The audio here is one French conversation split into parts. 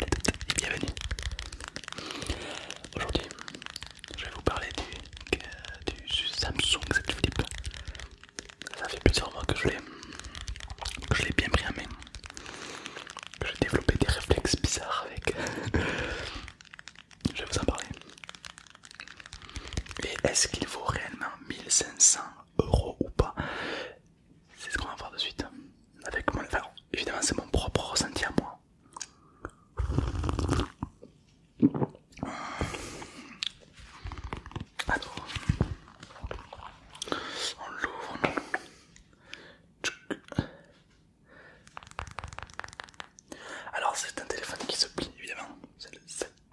et bienvenue. Aujourd'hui, je vais vous parler du, Samsung Z Flip. Ça fait plusieurs mois que je l'ai bien pris en main. Que j'ai développé des réflexes bizarres avec. je vais vous en parler. Et est-ce qu'il vaut réellement 1500 euros ou pas c'est ce qu'on va voir de suite. Avec mon... évidemment, c'est mon propre ressenti à moi. Alors, on l'ouvre. Alors, c'est un téléphone qui se plie, évidemment.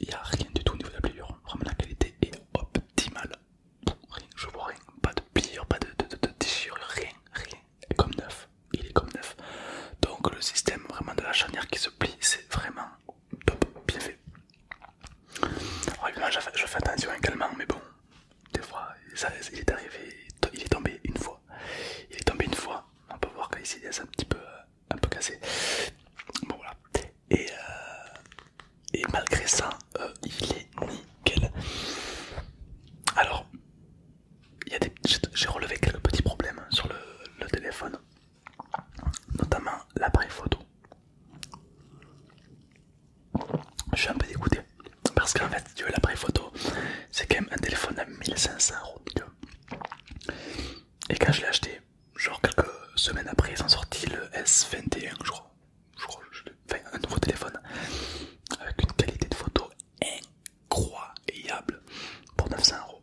Il n'y a rien du tout au niveau de la pliure. Vraiment la qualité est optimale. Rien, je vois rien. Pas de pliure, pas de, déchirure, rien, rien. Il est comme neuf. Il est comme neuf. Donc le système vraiment de la charnière qui se plie, c'est vraiment top, bien fait. je fais, attention également, mais bon, des fois, il est arrivé, il est tombé une fois. Il est tombé une fois. On peut voir qu'ici, il est un petit peu euh, un peu cassé. Bon voilà. Et, euh, et malgré ça, euh, il est nickel. Alors, j'ai relevé quelques petits problèmes sur le, téléphone, notamment l'appareil photo. Je suis un peu dégoûté parce qu'en fait, tu veux l'appareil photo, c'est quand même un téléphone à 1500 euros. Et quand je l'ai acheté, genre quelques semaines après, ils ont sorti le S21, je crois. un nouveau téléphone avec une qualité de photo incroyable pour 900 euros.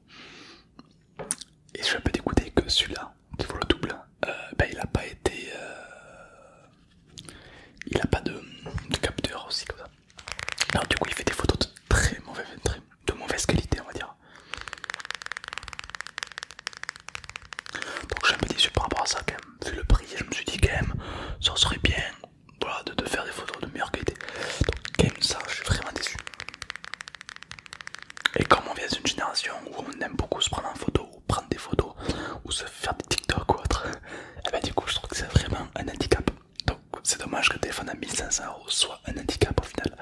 Et je suis un peu dégoûté que celui-là, qui vaut le double, euh, ben, il n'a pas été. Il a pas euh, de, capteur aussi comme ça. Alors, du coup, il fait des photos de très mauvais de mauvaise qualité, on va dire. Donc j'ai un peu déçu par rapport à ça quand Vu le prix, je me suis dit quand ça serait bien de, faire des photos de meilleure qualité. Donc quand ça, je suis vraiment déçu. Et comme on vient d'une génération où on aime beaucoup se prendre en photo, ou prendre des photos, ou se faire des TikTok ou autre, et eh bien du coup je trouve que c'est vraiment un handicap. Donc c'est dommage que le téléphone à 1500 euros soit un handicap au final.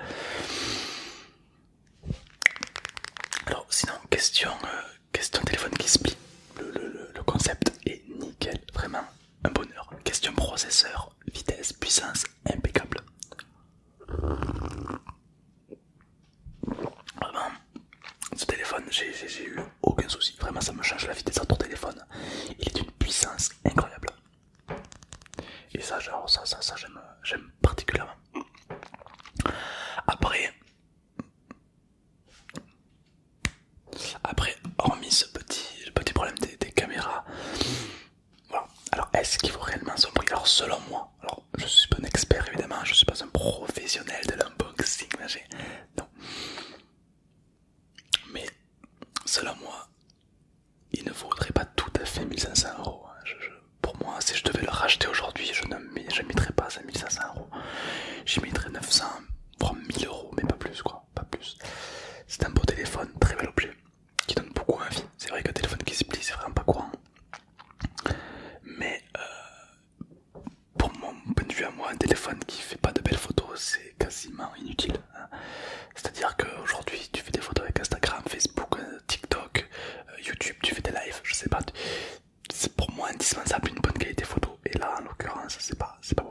Alors sinon, question, euh, question téléphone qui se Le, concept est nickel, vraiment un bonheur. Question processeur, vitesse, puissance, impeccable. Vraiment, ah ce téléphone, j'ai eu aucun souci. Vraiment, ça me change la vitesse de ton téléphone. Il est d'une puissance incroyable. Et ça, genre, ça, ça, ça j'aime particulièrement. Après, après, hormis ce petit, petit problème des, caméras, voilà. Alors, est-ce qu'il faut réellement son prix Alors, selon moi, alors je suis pas un expert évidemment, je suis pas un professionnel de l'unboxing, non. Mais selon moi, il ne vaudrait pas tout à fait 1500 euros. Hein. pour moi, si je devais le racheter aujourd'hui, je ne mettrais pas à 1500 euros. J'y mettrais 900, voire 1000 euros, mais pas plus quoi. Pas plus. C'est un beau téléphone, très bel objet, qui donne beaucoup envie. C'est vrai qu'un téléphone qui se plie, c'est vraiment pas courant. Mais euh, pour mon point de vue à moi, un téléphone qui fait pas de belles photos, c'est quasiment inutile. C'est-à-dire qu'aujourd'hui, tu fais des photos avec Instagram, Facebook, euh, TikTok, euh, YouTube, tu fais des lives, je sais pas. C'est pour moi indispensable une bonne qualité photo. Et là, en l'occurrence, c'est pas, pas bon.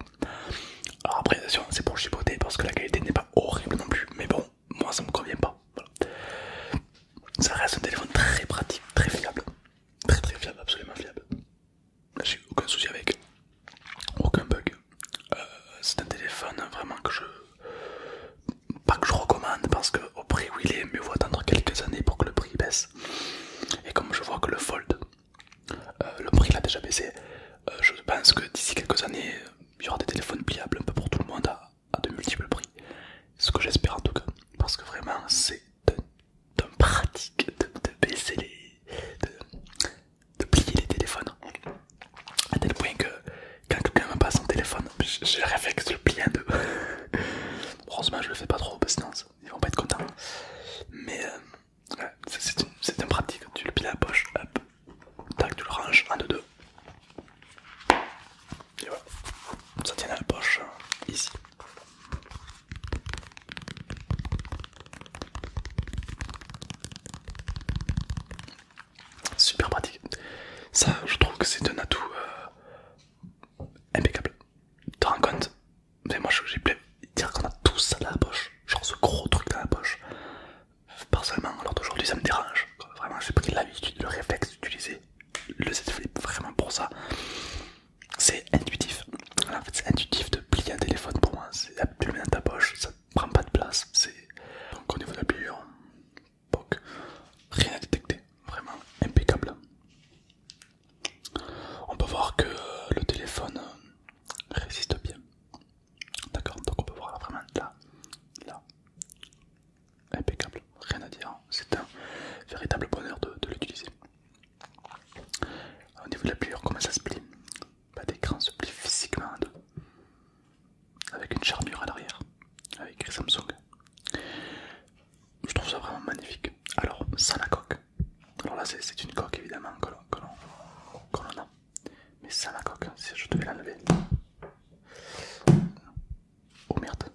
Alors après, attention, c'est pour chipoter parce que la qualité n'est pas horrible non plus. Mais bon, moi, ça me convient pas. Ça reste un téléphone très pratique, très fiable. Très très fiable, absolument fiable. J'ai aucun souci avec. Aucun bug. Euh, c'est un téléphone vraiment que je. Pas que je recommande parce que au prix où il est, mieux vaut attendre quelques années pour que le prix baisse. Et comme je vois que le Fold, euh, le prix l'a déjà baissé, euh, je pense que d'ici quelques années, il y aura des téléphones pliables un peu pour tout le monde à, de multiples prix. Ce que j'espère en tout cas, parce que vraiment c'est d'un pratique de, baisser les de plier les téléphones. À tel point que quand quelqu'un me passe son téléphone, j'ai réflexe de le plier en deux. Heureusement, je le fais pas trop, parce sinon ils vont pas être contents. Mais euh, c'est un pratique. Tu le plies à la poche, hop, tac, tu le ranges en deux deux. Et voilà, ça tient à la poche euh, ici. Super pratique. Ça, je trouve que c'est un atout euh, impeccable. Tu te rends compte Mais moi, j'ai plein dire qu'on a tout ça dans la poche. Genre ce gros truc dans la poche. Personnellement, alors d'aujourd'hui, ça me dérange. Vraiment, j'ai pris l'habitude, le réflexe d'utiliser le Z Flip vraiment pour ça c'est intuitif. en fait, c'est intuitif de plier un téléphone pour moi. C'est la le dans ta poche, ça prend pas de place. C'est au niveau de la pliure, rien à détecter, vraiment impeccable. On peut voir que le téléphone euh, résiste bien. D'accord, donc on peut voir vraiment là, là, impeccable, rien à dire. C'est un véritable bonheur de l'utiliser. Au niveau de la pliure, comment ça se plie Pas d'écran, se plie physiquement en deux, avec une charnure à l'arrière, avec Samsung. Je trouve ça vraiment magnifique. Alors, sans la coque, alors là c'est une coque évidemment que l'on a, mais sans la coque, si je devais l'enlever. Oh merde,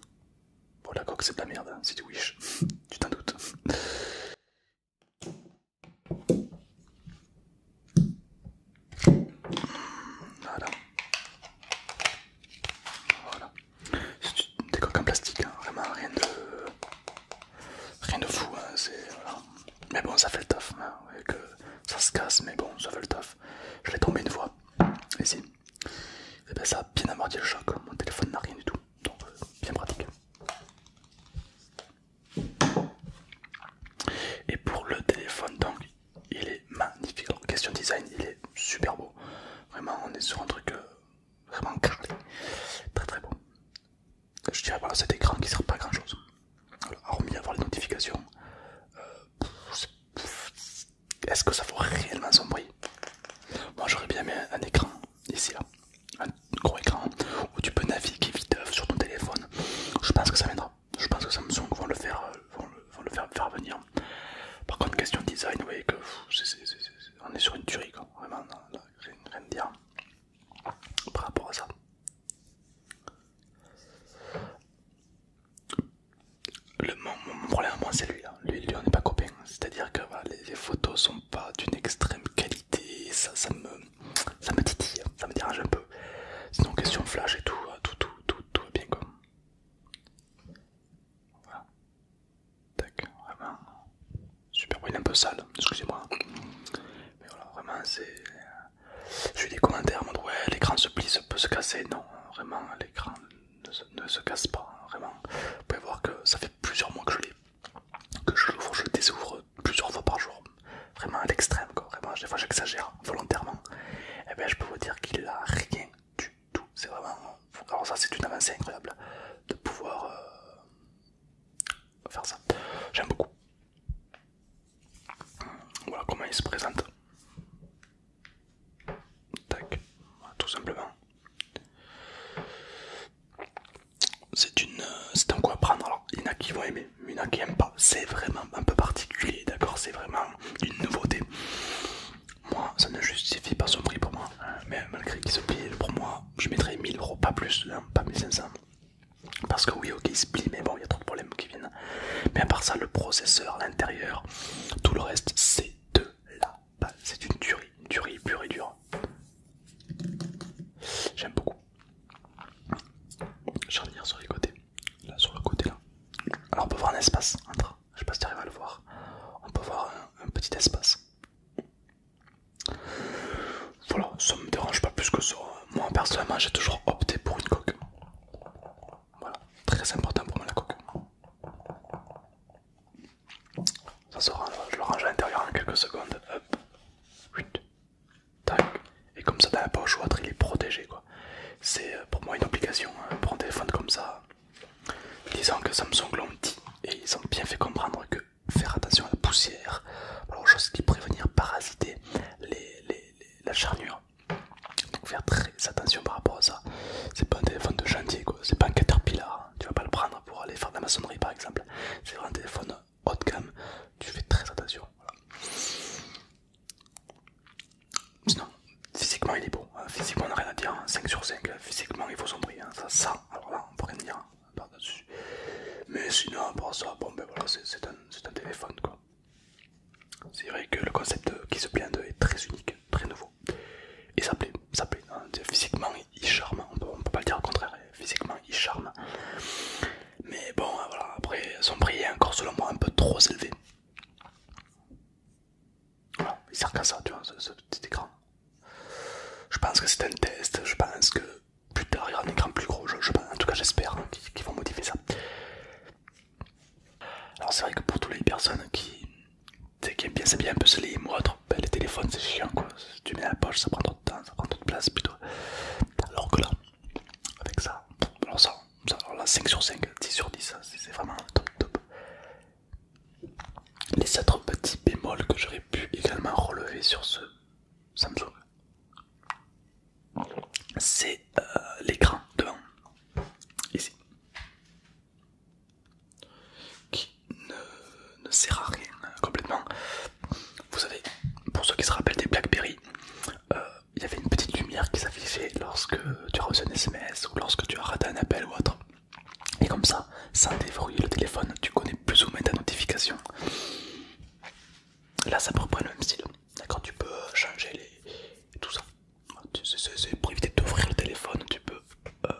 bon la coque c'est de la merde, si hein. c'est du wish, tu t'en doutes. Voilà. C'est des coques en plastique, hein. vraiment rien de... Rien de fou, hein. Mais bon, ça fait le taf, hein. que ça se casse, mais bon, ça fait le taf. Je l'ai tombé une fois, ici. Et eh ben ça a bien amorti le choc, mon téléphone n'a rien du tout, donc euh, bien pratique. Et pour le téléphone, donc il est magnifique. question design, il est super beau. Vraiment, on est sur un truc euh, vraiment carré, très très beau. Je dirais, voilà, cet écran qui sert pas à grand chose. Voilà, vient avoir les notifications, euh, est-ce que ça vaut réellement son bruit Moi, j'aurais bien mis un écran ici là un gros écran où tu peux naviguer vite sur ton téléphone. Je pense que ça viendra. Je pense que Samsung vont le faire, euh, vont le, faire, faire venir. Par contre, question design, vous voyez que on est sur une tuerie, quoi. rien, dire par rapport à ça. Le, mon, problème, moi, c'est lui. Hein. Lui, lui, on n'est pas copain c'est-à-dire que les, photos sont pas d'une extrême qualité, ça, ça me ça me titille, ça me dérange un peu. Sinon question flash et tout, hein, tout tout tout va bien comme Voilà. Tac, vraiment super, il un peu sale, excusez-moi. Mais voilà, vraiment c'est. Euh, j'ai eu des commentaires en ouais l'écran se plie, peut se casser. Non, vraiment l'écran ne, ne se casse pas, vraiment. Vous pouvez voir que ça fait plusieurs mois que je l'ai que je l'ouvre, je désouvre plusieurs fois par jour, vraiment à l'extrême, vraiment Des fois j'exagère volontairement, et eh bien je peux vous dire qu'il a rien du tout, c'est vraiment, alors ça c'est une avancée incroyable de pouvoir euh, faire ça, j'aime beaucoup. Voilà comment il se présente. Tac, tout simplement. C'est une, euh, c'est un quoi prendre. Alors, il y en a qui vont aimer, mais il y en a qui n'aiment pas. C'est vraiment un peu particulier, d'accord C'est vraiment une nouveauté. Moi, ça ne justifie pas son prix pour moi. Hein. Mais malgré qu'il se plie, pour moi, je mettrai 1000 euros, pas plus, hein, pas 1500. Parce que oui, ok, il se plie, mais bon, il y a trop de problèmes qui viennent. Mais à part ça, le processeur, l'intérieur, tout le reste, c'est de là. Bah, c'est une durée une tuerie pure et dure. J'aime beaucoup. je revenir sur les côtés, là sur le côté là. Alors on peut voir un espace entre, je sais pas si tu arrives à le voir, on peut voir un, un petit espace. Voilà, ça me dérange pas plus que ça. Moi personnellement j'ai toujours opté pour une coque. Voilà, très important pour moi la coque. Ça se je le range à l'intérieur en quelques secondes. Et comme ça, dans la poche ou autre, il est protégé. quoi. C'est euh, pour moi une obligation hein, pour un téléphone comme ça. Disons que Samsung l'ont dit et ils ont bien fait comprendre que faire attention à la poussière, chose qui prévenir parasiter la charnure. Donc faire très attention par rapport à ça. C'est pas un téléphone de chantier, quoi. C'est pas un caterpillar tu vas pas le prendre pour aller faire de la maçonnerie par exemple. C'est vraiment un téléphone haut de gamme, tu fais très attention. Sinon, physiquement il est beau, euh, physiquement on n'a rien à dire, 5 hein. sur 5, euh, physiquement il faut son hein. prix, ça sent, alors là on peut rien dire hein, par-dessus. Mais sinon, pour ça, bon ben voilà, c'est un, téléphone quoi. C'est vrai que le concept qui se d'eux est très unique, très nouveau. Et ça plaît, ça plaît. Hein, physiquement, il charme, on peut, peut pas le dire au contraire, physiquement, il charme. Mais bon, hein, voilà, après, son prix est encore selon moi un peu trop élevé. Voilà, il sert qu'à ça, tu vois, ce, petit écran. Je pense que c'est un test, je pense que plus tard il y aura un écran plus gros, je, en tout cas j'espère hein, qu'ils vont modifier ça. Alors c'est vrai que pour toutes les personnes qui, c'est bien c'est bien un peu slim et trop ben, les téléphones c'est chiant quoi. tu mets la poche, ça prend trop de temps, ça prend trop de place plutôt. Alors que là, avec ça, alors ça, 5 sur 5, 10 sur 10, c'est vraiment top top. Les autres petits bémols que j'aurais pu également relever sur ce Samsung, c'est euh, l'écran devant, ici qui ne, sert à rien complètement. Vous savez, pour ceux qui se rappellent des Blackberry, euh, il y avait une petite lumière qui s'affichait lorsque tu as reçu un SMS ou lorsque tu as raté un appel ou autre. Et comme ça, sans déverrouiller le téléphone, tu connais plus ou moins ta notification. Là, ça reprend le même style. D'accord, tu peux changer les... tout ça. C'est pour éviter d'ouvrir le téléphone, tu peux euh,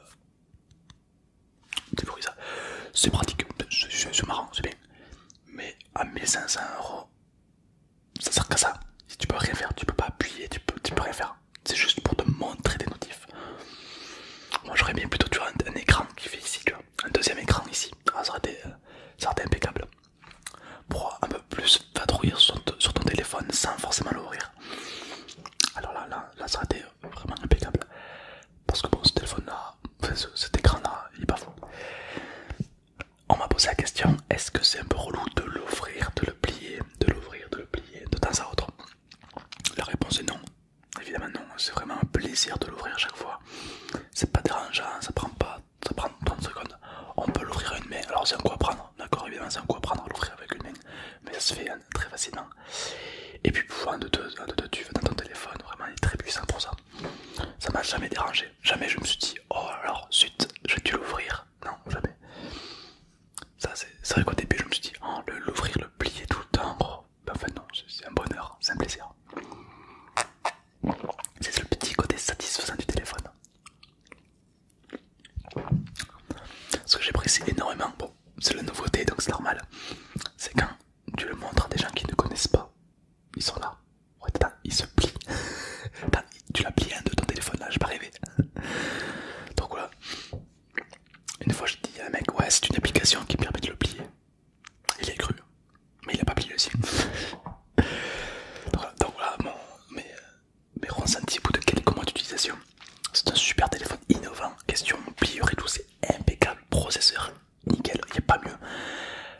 ça. C'est pratique, c'est marrant, c'est bien. Mais à 1500 euros, ça sert qu'à ça. Si tu peux rien faire, tu peux pas appuyer, tu peux, peux rien faire. C'est juste pour te montrer des notifs. Moi j'aurais bien plutôt tu un, écran qui fait ici, un deuxième écran ici. Ah, ça, aurait été, euh, ça impeccable. Pour un peu plus va sur, sur ton téléphone sans forcément l'ouvrir. Alors là, là, ça a été vraiment impeccable. Parce que bon, ce téléphone-là, cet écran-là, il est pas fou. On m'a posé la question est-ce que c'est un peu relou de l'ouvrir, de le plier, de l'ouvrir, de le plier de temps à autre La réponse est non. Évidemment non, c'est vraiment un plaisir de l'ouvrir à chaque fois. C'est pas dérangeant, ça prend pas, ça prend 30 secondes. On peut l'ouvrir à une main, alors c'est un quoi prendre. D'accord, évidemment, c'est un coup à prendre à l'ouvrir avec une main, mais ça se fait hein, très facilement. Et puis, pouvoir de tu vas dans ton téléphone, vraiment, il est très puissant pour ça. Ça m'a jamais dérangé. Jamais je me suis dit, oh alors, je vais dû l'ouvrir. Non, jamais. Ça, c'est vrai qu'au début, je me suis dit, oh, l'ouvrir, le, plier tout le temps, gros. Oh. Ben, bah, enfin, non, c'est un bonheur, c'est un plaisir. C'est le petit côté satisfaisant du téléphone. Ce que j'apprécie énormément, bon, c'est la nouveauté donc c'est normal, c'est quand tu le montres à des gens qui ne connaissent pas, ils sont là. ils se plient. tu l'as plié un de ton téléphone là, j'ai pas rêvé. Donc voilà. Une fois j'ai dit à un mec, ouais, c'est une application qui permet de le plier. Il est cru, mais il a pas plié le donc, voilà, euh, mais ressentis au bout de quelques mois d'utilisation. C'est un super téléphone innovant, question pliure et tout, c'est impeccable, processeur nickel, il n'y a pas mieux.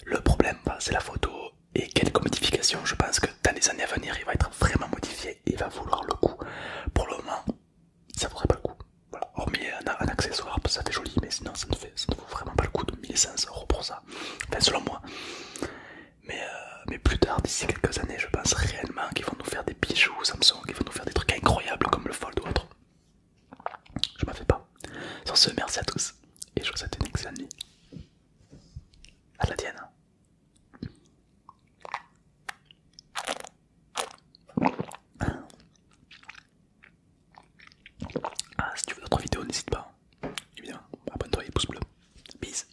Le problème, bah, c'est la photo et quelques modifications. Je pense que dans les années à venir, il va être vraiment modifié et va vouloir le coup. Pour le moment, ça ne vaudrait pas le coup. hormis un, accessoire, ça fait joli, mais sinon ça ne, ça vaut vraiment pas le coup de 1500 euros pour ça. Enfin, selon moi mais, euh, mais plus tard, d'ici quelques années, je pense réellement qu'ils vont nous faire des bijoux Samsung, qu'ils vont nous faire des trucs incroyables comme le Fold ou autre. Je m'en fais pas. Sur ce, merci à tous et je vous souhaite une excellente nuit. À la tienne. Ah, si tu veux d'autres vidéos, n'hésite pas. Évidemment, abonne-toi et pouce bleu. Peace.